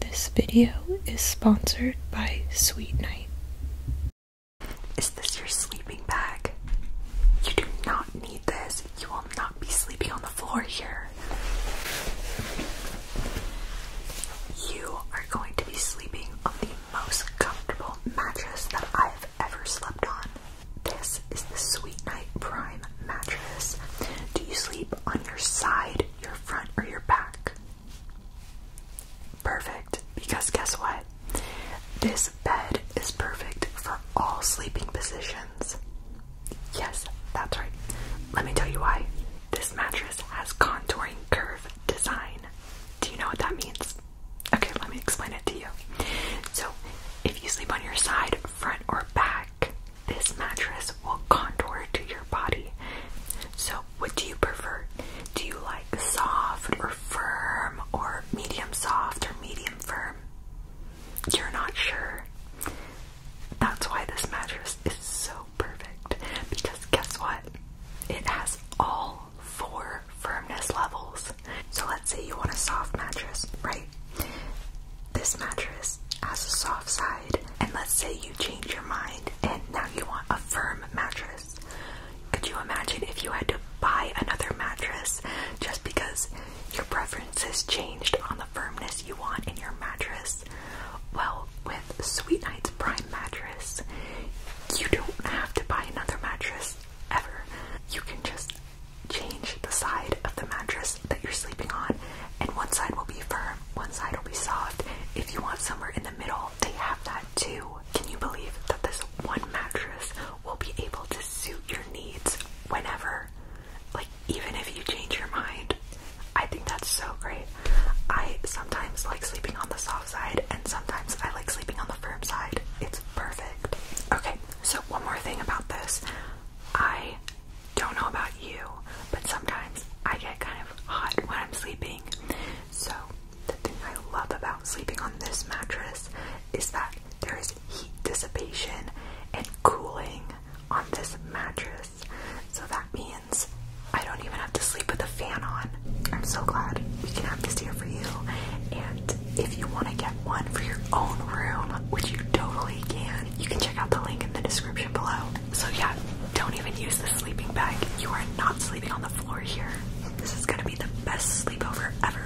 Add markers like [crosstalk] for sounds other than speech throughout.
This video is sponsored by Sweet Night. Is this your sleeping bag? You do not need this. You will not be sleeping on the floor here. You are going to be sleeping on the most comfortable mattress that I have ever slept on. This is the Sweet Night Prime mattress. Do you sleep on your side? your front or your back? Perfect, because guess what? This bed is perfect for all sleeping positions. Yes, that's right. Let me tell you why. This mattress has contouring curve design. Do you know what that means? Okay, let me explain it to you. So, if you sleep on your side, front, or back, this mattress will contour to your body. So, what do you prefer? Do you like soft or firm or medium soft or medium firm? You're not sure. That's why this mattress is so perfect because guess what? It has all four firmness levels. So let's say you want a soft mattress, right? This mattress has a soft side and let's say you change your mind and now you want a firm mattress. Could you imagine if you had to buy another mattress just because your preferences changed on the firmness you want in your mattress? Well, with Sweet Night's Prime Mattress, you don't have to buy another mattress ever. You can just change the side of the mattress that you're sleeping on, and one side will be firm one side will be soft. If you want somewhere in the middle, they have that too. Can you believe that this one mattress will be able to suit your needs whenever? Like, even if you change your mind. I think that's so great. I sometimes like sleeping on the soft side, and sometimes I like sleeping on the firm side. It's perfect. Okay, so one more thing about this. I don't know about you, but sometimes I get kind of hot when I'm sleeping. So, the thing I love about sleeping on this mattress is that there is heat dissipation and cooling on this mattress. So, that means I don't even have to sleep with a fan on. I'm so glad we can have this here for you. And if you want to get one for your own room, which you totally can, you can check out the link in the description below. So yeah, don't even use the sleeping bag. You are not sleeping on the floor here. This is gonna be the best sleepover ever.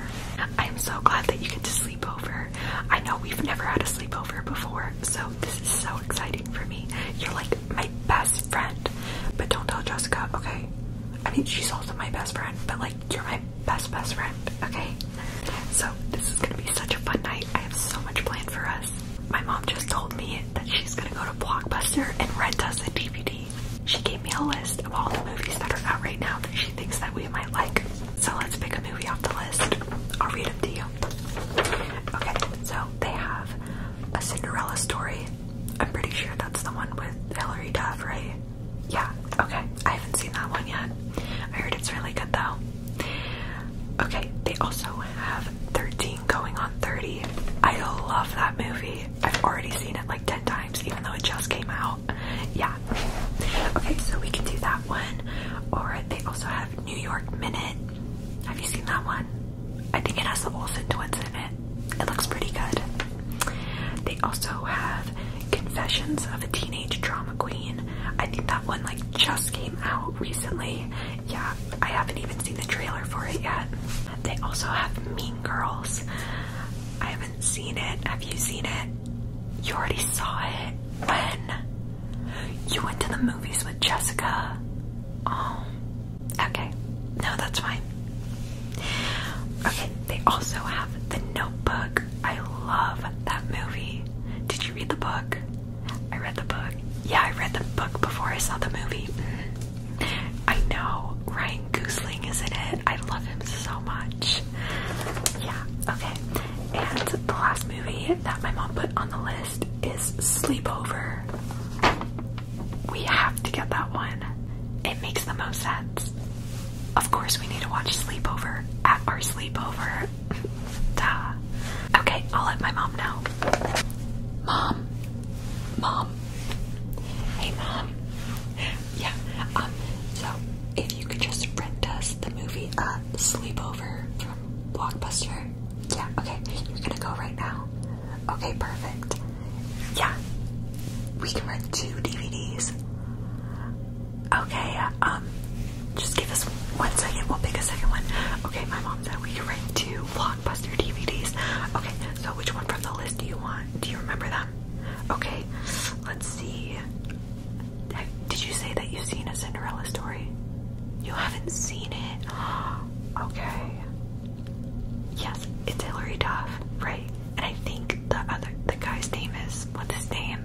I'm so glad that you get to sleep over. I know we've never had a sleepover before, so this is so exciting for me. You're like my best friend. But don't tell Jessica, okay? I mean, she's also my best friend, but like, you're my best, best friend, okay? So, this is gonna be such a fun night. I have so much planned for us. My mom just told me that she's gonna go to Blockbuster and rent us the DVD. She gave me a list of all the movies that are out right now that she thinks that we might like. So let's pick a movie off the list. I'll read them to you. Okay, so they have a Cinderella story. I'm pretty sure that's the one with Hilary Duff, right? Yeah, okay. I haven't seen that one yet. I heard it's really good though. Okay, they also have 13 going on 30. I love that movie. I've already seen it like 10 times, even though it just came out. Yeah. Okay, so we can do that one. Or they also have New York Minute. Have you seen that one? I think it has the Olsen twins in it. It looks pretty good. They also have Confessions of a Teenage Drama Queen. I think that one like just came out recently yeah, I haven't even seen the trailer for it yet. They also have Mean Girls. I haven't seen it. Have you seen it? You already saw it when you went to the movies with Jessica. Oh, okay. No, that's fine. Okay, they also have The Notebook. I love that movie. Did you read the book? I read the book. Yeah, I read the book before I saw the movie. I know Ryan Goosling is in it. I love him so much. Yeah, okay. And the last movie that my mom put on the list is Sleepover. We have to get that one. It makes the most sense. Of course, we need to watch Sleepover at our sleepover. [laughs] Duh. Okay, I'll let my mom know. Mom, mom. Hey, mom. Yeah. Um. So, if you could just rent us the movie uh, Sleepover from Blockbuster. Yeah. Okay. You're gonna go right now. Okay. Perfect. Yeah. We can rent two DVDs. Okay. Um. Just give us one second. We'll pick a second one. Okay. My mom said we can rent two. Blockbuster Blockbuster DVDs. Okay, so which one from the list do you want? Do you remember them? Okay, let's see. Did you say that you've seen a Cinderella story? You haven't seen it? [gasps] Okay. Yes, it's Hilary Duff, right? And I think the other the guy's name is what's his name?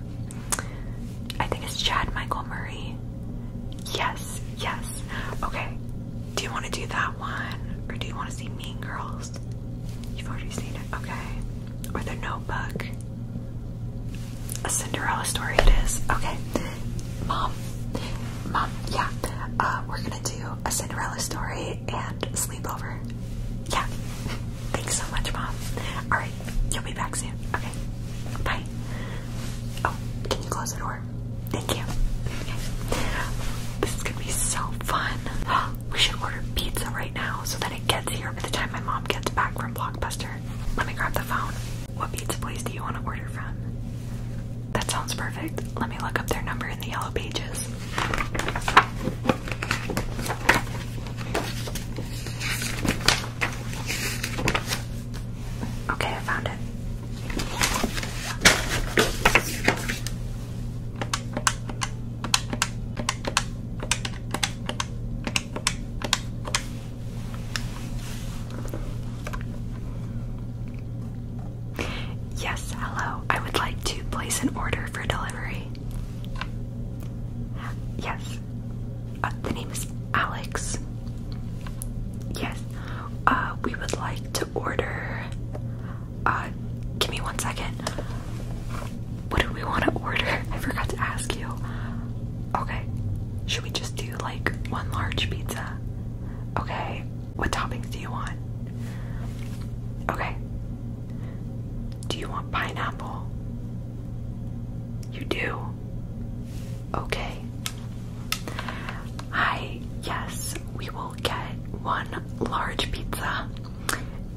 I think it's Chad Michael Murray. Yes, yes. Okay. Do you want to do that one? Or do you want to see Mean Girls? You've already seen it. Okay. Or The Notebook. A Cinderella story it is. Okay. Mom. Mom, yeah. Uh, we're going to do a Cinderella story and sleepover. Yeah. [laughs] Thanks so much, Mom. Alright. You'll be back soon. Okay. Bye. Oh, can you close the door? Thank you. This is gonna be so fun. [gasps] We should order pizza right now so that it gets here by the time my mom gets back from Blockbuster. Let me grab the phone. What pizza place do you want to order from? That sounds perfect. Let me look up their number in the yellow pages. Okay, I found it. Yes, hello. I would like to place an order for delivery. Yes. Uh, the name is Alex. Yes, uh, we would like to order. Uh, give me one second. What do we want to order? [laughs] I forgot to ask you. Okay, should we just do like one large pizza? Okay, what toppings do you want? Okay, do you want pineapple? You do? Okay, Hi, yes, we will get one large pizza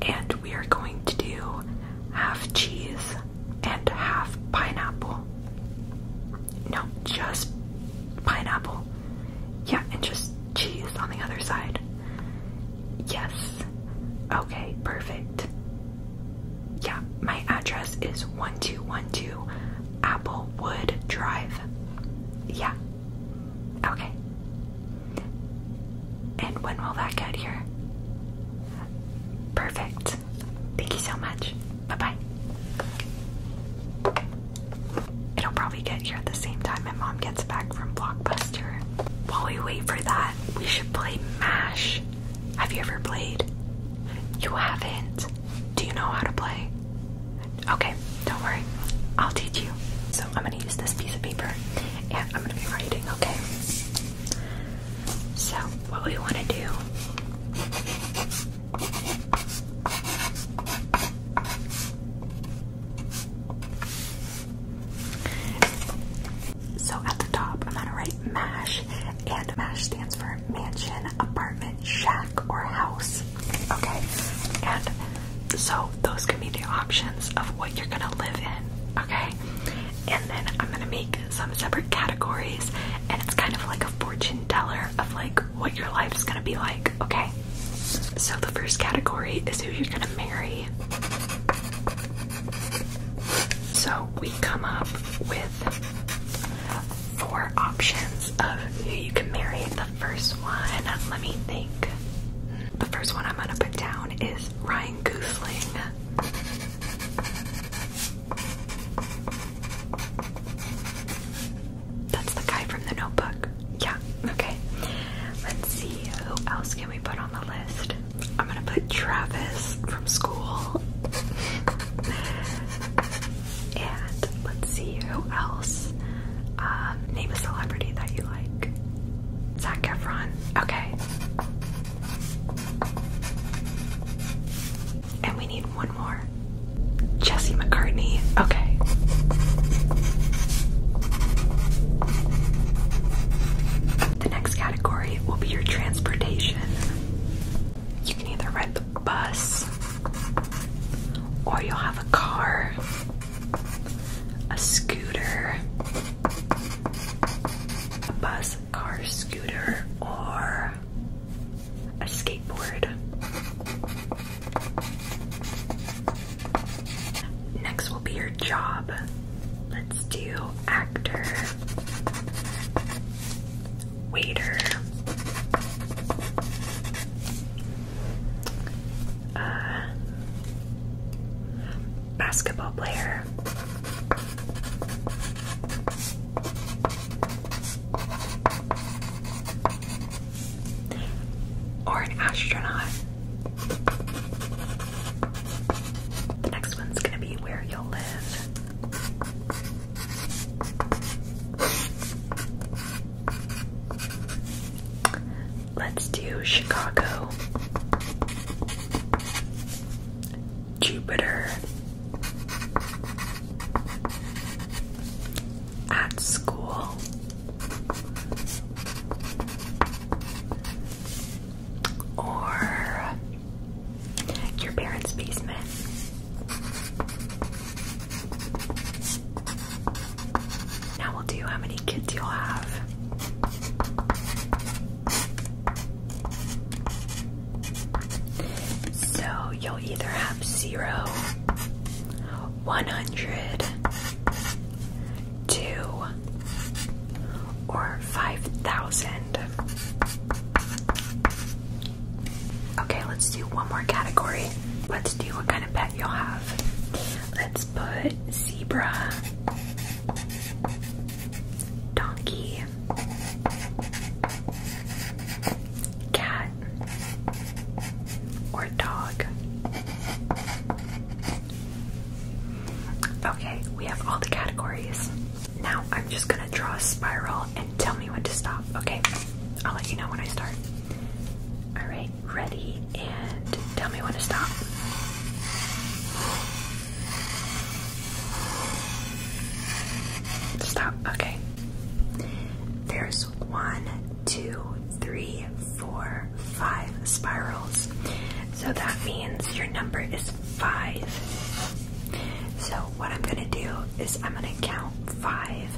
and we are going to do half cheese and half pineapple. No, just pineapple. Yeah, and just cheese on the other side. Yes. Okay, perfect. Yeah, my address is 1212 Applewood Drive, yeah. Okay. And when will that get here? Perfect. Thank you so much. Bye bye. It'll probably get here at the same time my mom gets back from Blockbuster. While we wait for that, we should play MASH. Have you ever played? You haven't. Do you know how to play? Okay, don't worry. I'll teach you. So I'm gonna use this piece of paper and I'm gonna be writing, okay? So what we wanna do so at the top, I'm gonna write MASH, and MASH stands for mansion, apartment, shack, or house. Okay, and so those can be the options of what you're gonna live in, okay? And then I'm gonna make some separate categories, and it's kind of like a fortune teller of like what your life is gonna be like, okay? So the first category is who you're gonna marry. So we come up with four options of who you can marry. The first one, let me think. The first one I'm gonna put down is Ryan Goosling. That's the guy from the notebook. Yeah, okay. Let's see, who else can we put on the list? I'm gonna put Travis from school. And let's see who else. Um, name a celebrity that you like. Zac Efron. Okay. And we need one more. Jesse McCartney. Okay. The next category will be your transportation. You can either ride the bus, or you'll have a car, a scooter, a bus, car, scooter, or a skateboard. Next will be your job. Let's do actor waiter. Uh, basketball player. Or an astronaut. The next one's gonna be where you'll live. Let's do Chicago, Jupiter, at school, or your parents' basement. Now we'll do how many kids you'll have. So you'll either have zero, or 5,000. Okay, let's do one more category. Let's do what kind of pet you'll have. Let's put zebra, donkey, cat, or dog. Okay, we have all the categories. Now I'm just gonna draw a spiral and tell me when to stop, okay? I'll let you know when I start. All right, ready and tell me when to stop. Stop, okay. There's one, two, three, four, five spirals. So that means your number is five. So what I'm gonna do is I'm gonna count five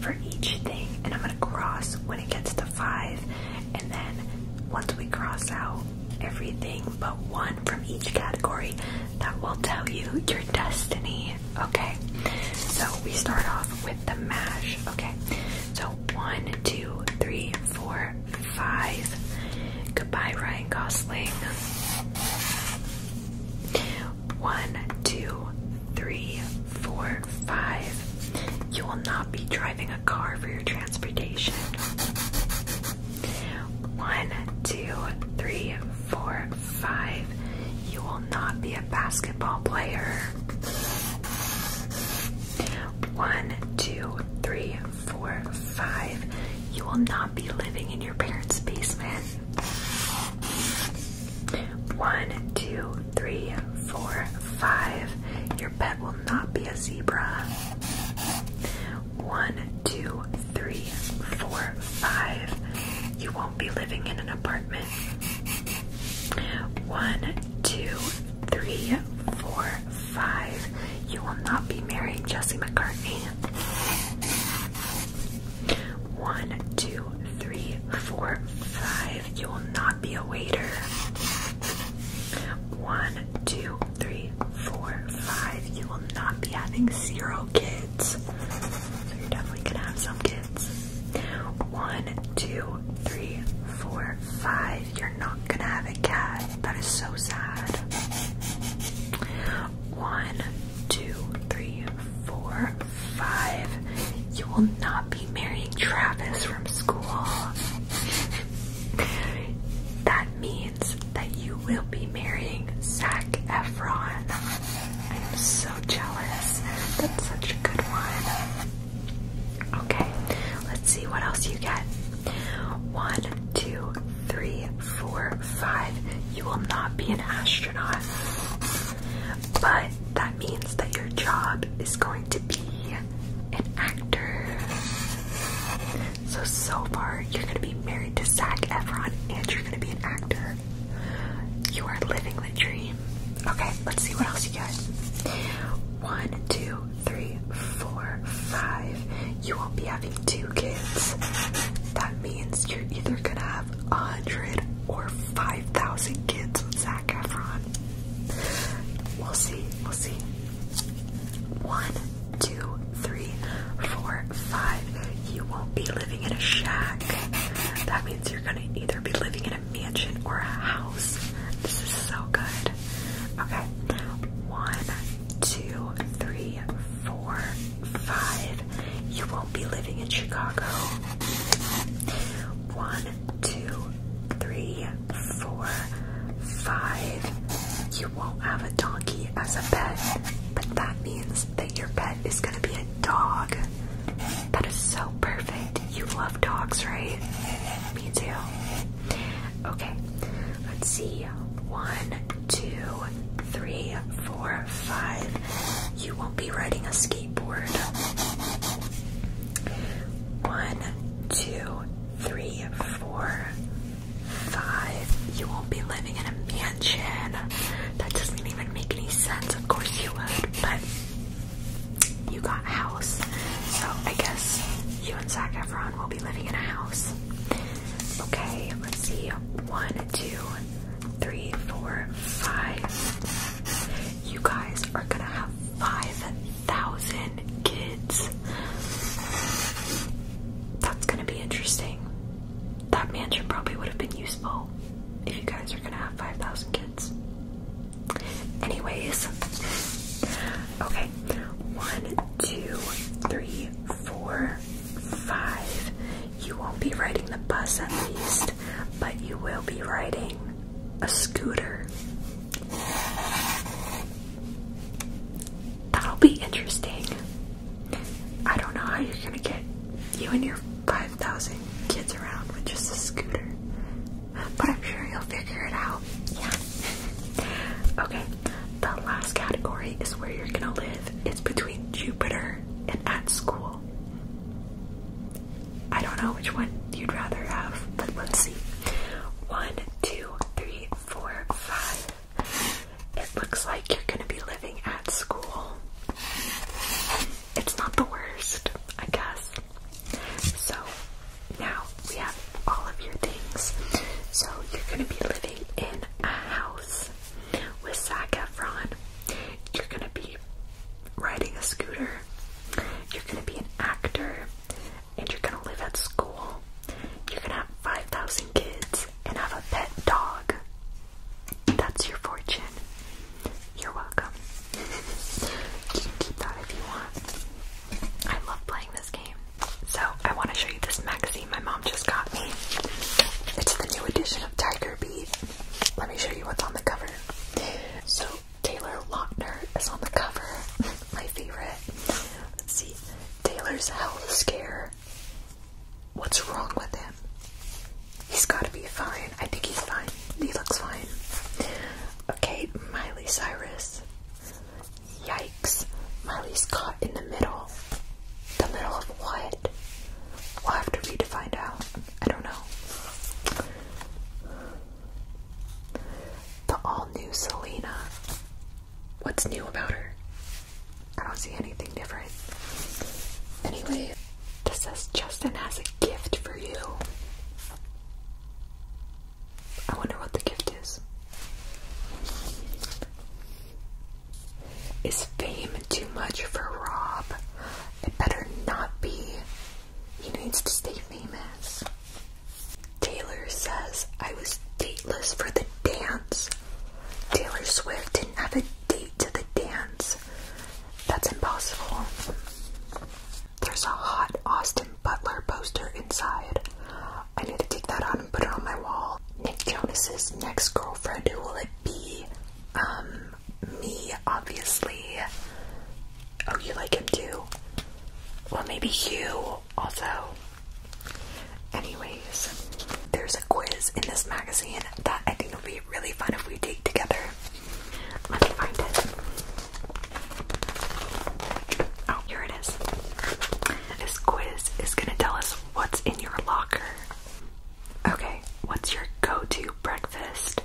for each thing, and I'm gonna cross when it gets to five, and then once we cross out everything but one from each category, that will tell you your destiny. Okay, so we start off with the mash. Okay, so one, two, three, four, five. Goodbye, Ryan Gosling. One, two, three, four, five. You will not be driving a car for your transportation. One, two, three, four, five. You will not be a basketball player. One, two, three, four, five. You will not be living in your parents' basement. One, two, three, four, five. Your pet will not be a zebra. One, two, three, four, five. You won't be living in an apartment. One, two, three, four, five. You will not be marrying Jesse McCartney. One, two, three, four, five. You will not be a waiter. One, two, three, four, five. You will not be having zero kids. So you're definitely gonna have some kids. One, two, three, four, five. You're not gonna have a cat. That is so sad. One, two, three, four, Five, you will not be marrying Travis from school. that means that you will be marrying Zach Efron. I'm so jealous. That's such a good one. Okay, let's see what else you get. One, two, three, four, five. You will not be an astronaut but that means that your job is going to be an actor. So, so far, you're going to be married to Zach Efron and you're going to be an actor. You are living the dream. Okay, let's see what else you got. One, two, three, four, five. You won't be having two kids. That means you're either going to have a hundred or five 5,000 kids with Zac Efron. We'll see, we'll see. One, two, three, four, five. You won't be living in a shack. That means you're gonna either be living in a mansion or a house. This is so good. Okay. One, two, three, four, five. You will will be living in Chicago. One, two, three, four, five. You won't have a donkey as a pet, but that means that your pet is going to be a dog. That is so perfect. You love dogs, right? Me too. Okay, let's see. One, two, three, four, five. You won't be riding a ski one, two, three, four, five. You won't be living in a mansion. That doesn't even make any sense. Of course you would, but you got house. So I guess you and Zac Efron will be living in a house. Okay, let's see. One, two, three, four, five. You guys are gonna have 5,000 kids. That's gonna be interesting. That mansion probably would have been useful if you guys are gonna have 5,000 kids. Anyways, okay, one, two, three, four, five. You won't be riding the bus at least, but you will be riding a scooter. That'll be interesting. I don't know how you're gonna get you and your 5,000 kids around with just a scooter, but I'm sure you'll figure it out. Yeah. okay, the last category is where you're gonna live. It's between Jupiter and at school. I don't know which one you'd rather have, but let's see. One, two, three, four, five. It looks like you're gonna be living at school. It's not the worst, I guess. So now we have all of your things. So you're gonna be living in a house with Zac Efron. You're gonna be riding a scooter. You're gonna be an actor and you're gonna live at school. You're gonna have 5,000 kids and have a pet dog. That's your fortune. You're welcome. [laughs] keep that if you want. I love playing this game. So, I want to show you this magazine my mom just got me. It's the new edition of Tiger Beat. Let me show you what's on the cover. So, Taylor Lautner is on the cover. [laughs] My favorite. Let's see. Taylor's health scare. What's wrong with him? He's gotta be fine. I think he's fine. He looks fine. Okay, Miley Cyrus. Yikes. Miley's caught in the middle. The middle of what? We'll have to read to find out. I don't know. The all new Selena. What's new about her? I don't see anything different. Anyway, this says Justin has a gift for you. I wonder what the gift is. Is fame too much for Rob? It better not be. He needs to stay famous. Taylor says, I was dateless for the dance. Taylor Swift didn't have a date to the dance. That's impossible. There's a hot Austin Butler poster inside. I need to take that out and put it on my wall. Nick Jonas's next girlfriend, who will it be? Um, me, obviously. Oh, you like him too? Well, maybe you also. Anyways, there's a quiz in this magazine that I think will be really fun if we take together. Let me find it. Oh, here it is. This quiz is gonna tell us what's in your locker. Okay, what's your go to breakfast?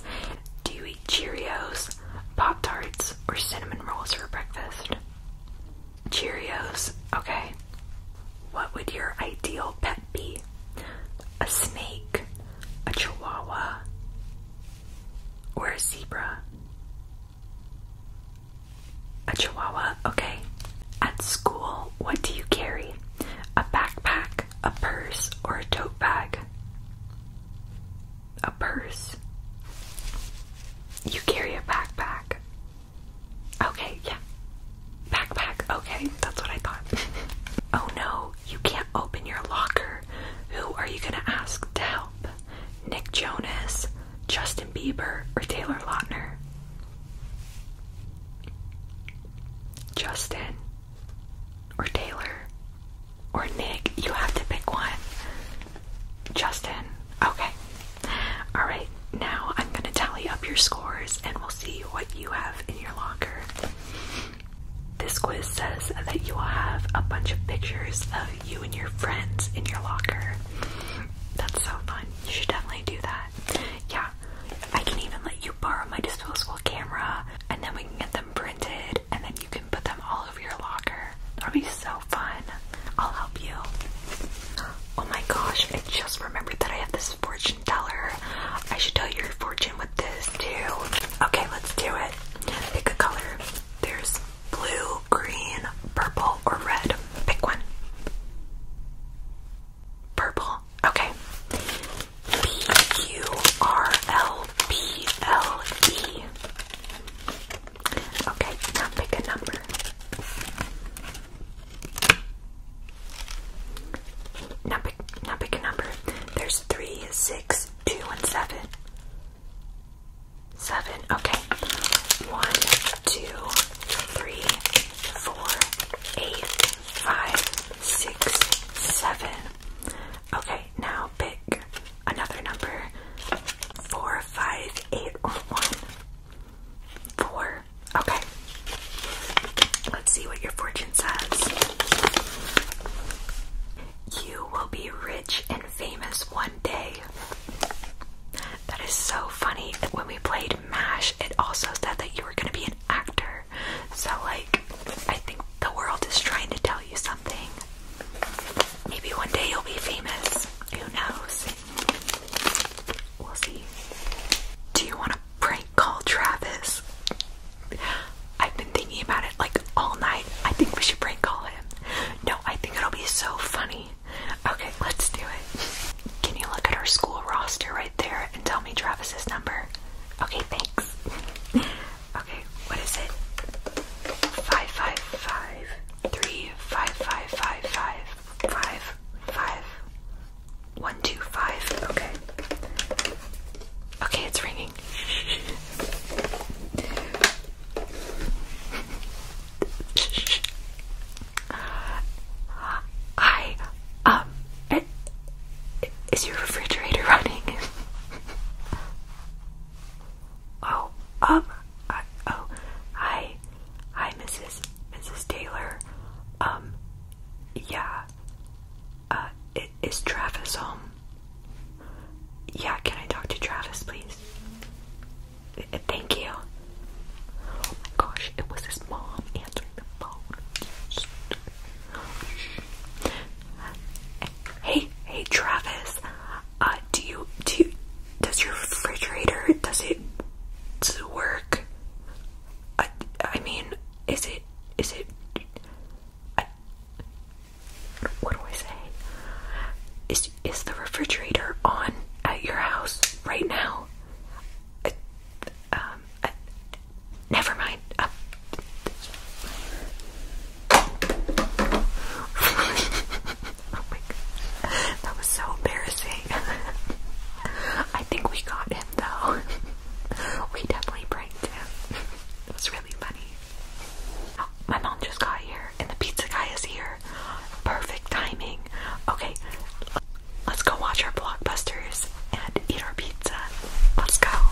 Do you eat Cheerios, Pop Tarts, or cinnamon rolls for breakfast? Cheerios, okay. What would your ideal pet be? A snake, a chihuahua, or a zebra? A chihuahua, okay. At school, what do you carry? A backpack, a purse or a tote bag? A purse. You carry a backpack. Okay, yeah. Backpack, okay, that's what I thought. [laughs] oh no, you can't open your locker. Who are you gonna ask to help? Nick Jonas, Justin Bieber, or Taylor Lautner? Justin or Taylor or Nick. You have to pick one. Justin. Okay. Alright, now I'm going to tally up your scores and we'll see what you have in your locker. This quiz says that you will have a bunch of pictures of you and your friends in your locker. That's so fun. You should definitely do that. Yeah, I can even let you borrow my disposable camera and then we can get them printed and then you can put them all over your locker. That'll be so fun. I'll help you. Oh my gosh, I just remembered that I have this fortune teller. I should tell your fortune with this too. Okay, let's do it. Pick a color. There's blue, green, purple, or red. Pick one. Purple. Okay. B U R L P L E. Okay, now pick a number. Now pick, now pick a number. There's three, six, two, and seven. Seven, okay. One, two, three, four, eight, five, six, seven. Okay, now pick another number four, five, eight, or one. Four. Okay. Let's see what your fortune says. You will be rich and famous one day. That is so funny. When we played MASH, it also said that you were going to be an actor. So, like, I think the world is trying to tell you something. Maybe one day you'll be famous. Who knows? We'll see. Do you want to prank call Travis? I've been thinking about it like all night. I think we should prank call him. No, I think it'll be so funny. Okay, let's do it. Can you look at our school roster right there and tell me Travis's number? Okay, thanks. [laughs] Okay, what is it? Five, five, five, three, five, five, five, five, five, five, one, two, five. Okay. Okay, it's ringing. I, um, it, is your refrigerator [laughs] running? Oh, um, oh, hi, hi, Mrs. Mrs. Taylor. Um, yeah. Uh, is Travis home? Yeah, can I talk to Travis, please? Thank you. Oh my gosh, it was his mom answering the phone. Hey, hey, Travis. Uh, do you do? does your refrigerator does it work? I I mean, is it is it? what do I say? Is is the refrigerator on at your house right now? um, never mind. Uh, oh my god. That was so embarrassing. [laughs] I think we got him though. [laughs] we definitely pranked him. it was really funny. Oh, my mom just got here and the pizza guy is here. Perfect timing. Okay, let's go watch our blockbusters and eat our pizza. Let's go.